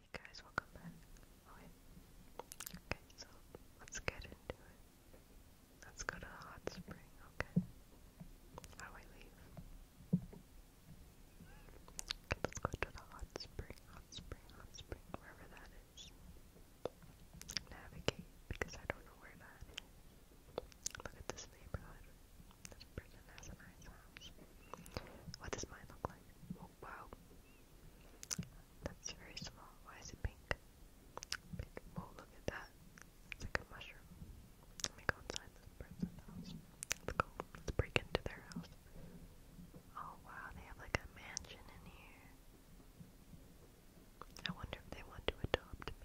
Hey guys, welcome back. Okay, so let's get into it. Let's go to the hot spring, okay? How do I leave? Okay, let's go to the hot spring, hot spring, hot spring, wherever that is. Navigate, because I don't know where that is. Look at this neighborhood. This person has a nice house. What does mine look like? Oh, wow. That's very small. Why is it pink? Pink. Oh, look at that. It's like a mushroom. Let me go inside this person's house. Let's go. Let's break into their house. Oh, wow. They have like a mansion in here. I wonder if they want to adopt me.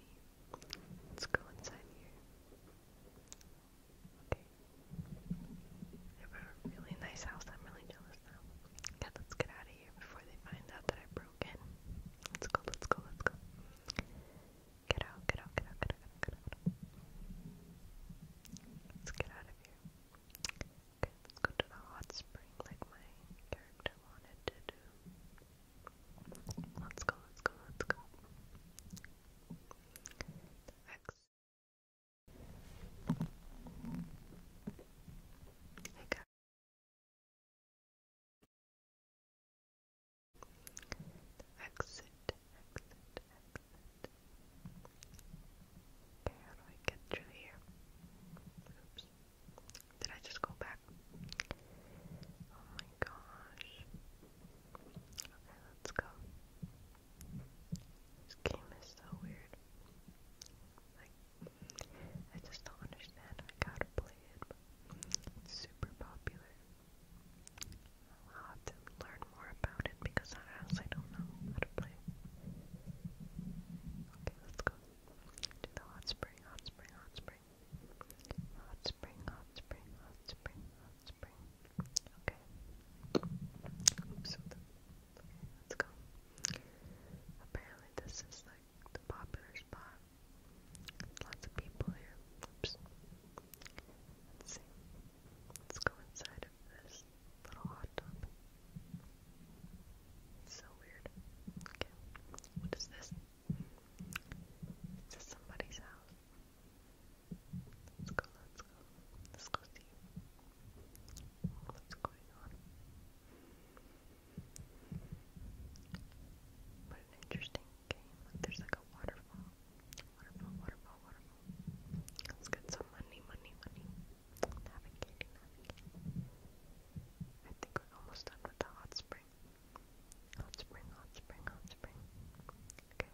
Let's go inside here. Okay. They have a really nice house. I'm really jealous now. Okay, let's get out of here before they find out that I broke in. Let's go, let's go, let's go. get out, get out, get out, get out, get out. Let's get out of here. Okay, let's go to the hot spring like my character wanted to do. Let's go, let's go, let's go. Next. Hey guys. Exit, exit, exit. Okay, how do I get through here? Oops. Did I just go back? Oh my gosh. Okay, let's go. This game is so weird. Like, I just don't understand. I gotta play it, but it's super popular. I'll have to learn more about it because I honestly don't know how to play Okay, let's go. Do the hot spring, hot spring, hot spring. Hot spring, hot spring, hot spring, hot spring. Okay. Oops, let's go. Apparently this is like the popular spot. Lots of people here. Oops. see. Let's go inside of this little hot tub. It's so weird. Okay. What is this? Is somebody's house? Let's go, let's go. Let's go see what's going on. What an interesting game. there's like a waterfall. Waterfall, waterfall, waterfall. Let's get some money, money, money. Navigating, I think we're almost done with the hot spring. Hot spring, hot spring, hot spring. Okay.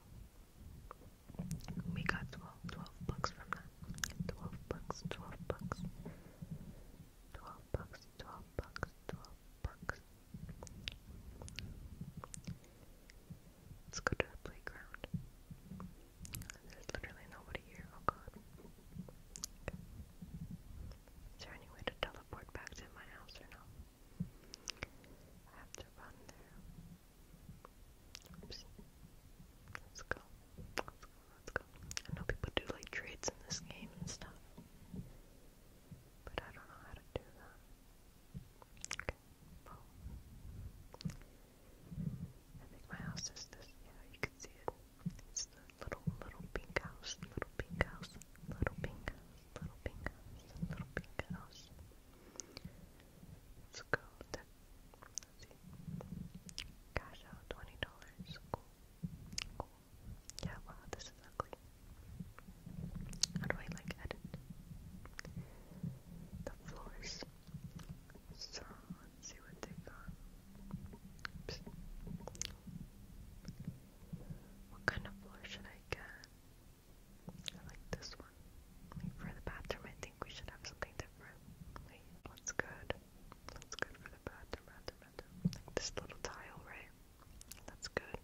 We got 12, 12 from that. 12 books, 12 books. 12 books, 12 books, 12 books. Let's go to the playground. There's literally nobody here. Oh god. Is there any way to teleport back to my house or no? I have to run there. Oops. Let's go. Let's go, let's go. I know people do like trades in this game and stuff. But I don't know how to do that. Okay. I think my house is this. Yeah, you can see it. It's the little, little pink house, little pink house, little pink house, little pink house, little pink house. Let's go. That, let's see. Cash out twenty dollars. Cool. Cool. Yeah. Wow. This is ugly. How do I like edit? The floors. So see what they got. What kind of floor should I get? I like this one. for the bathroom, I think we should have something different. Wait, what's good? That's good for the bathroom, bathroom, this little tile, right? That's good.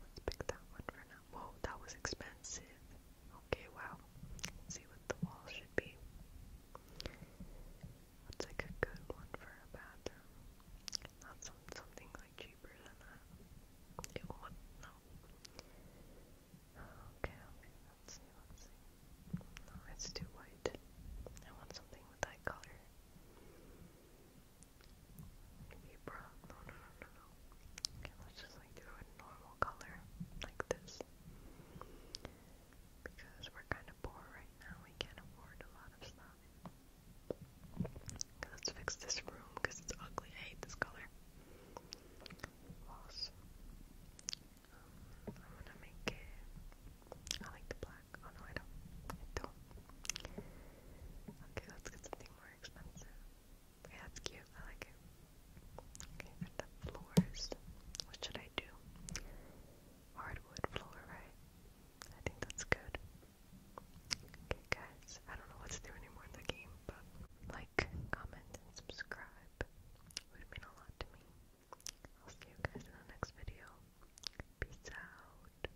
let's pick that one for now. Whoa, that was expensive. Okay, wow. see what the wall should be. What's like a good one for a bathroom? Not some something like cheaper than that. It would no. Okay, okay, let's see, let's see. No, it's too white. I want something with that color. Libra. No, no, no, no, no. Okay, let's just like do a normal color like this. Because we're kind of poor right now. We can't afford a lot of stuff. let's fix this room because it's ugly. hate this color. Loss. Um, I'm gonna make it. I like black. Oh no, I don't. don't. Okay, let's get something more expensive. Yeah, that's cute. I like it. Okay, and the floors. What should I do? Hardwood floor, right? I think that's good. Okay, guys, I don't know what's there anymore in the game, but like, comment, subscribe would mean a lot to me. I'll see you guys in the next video. Peace out.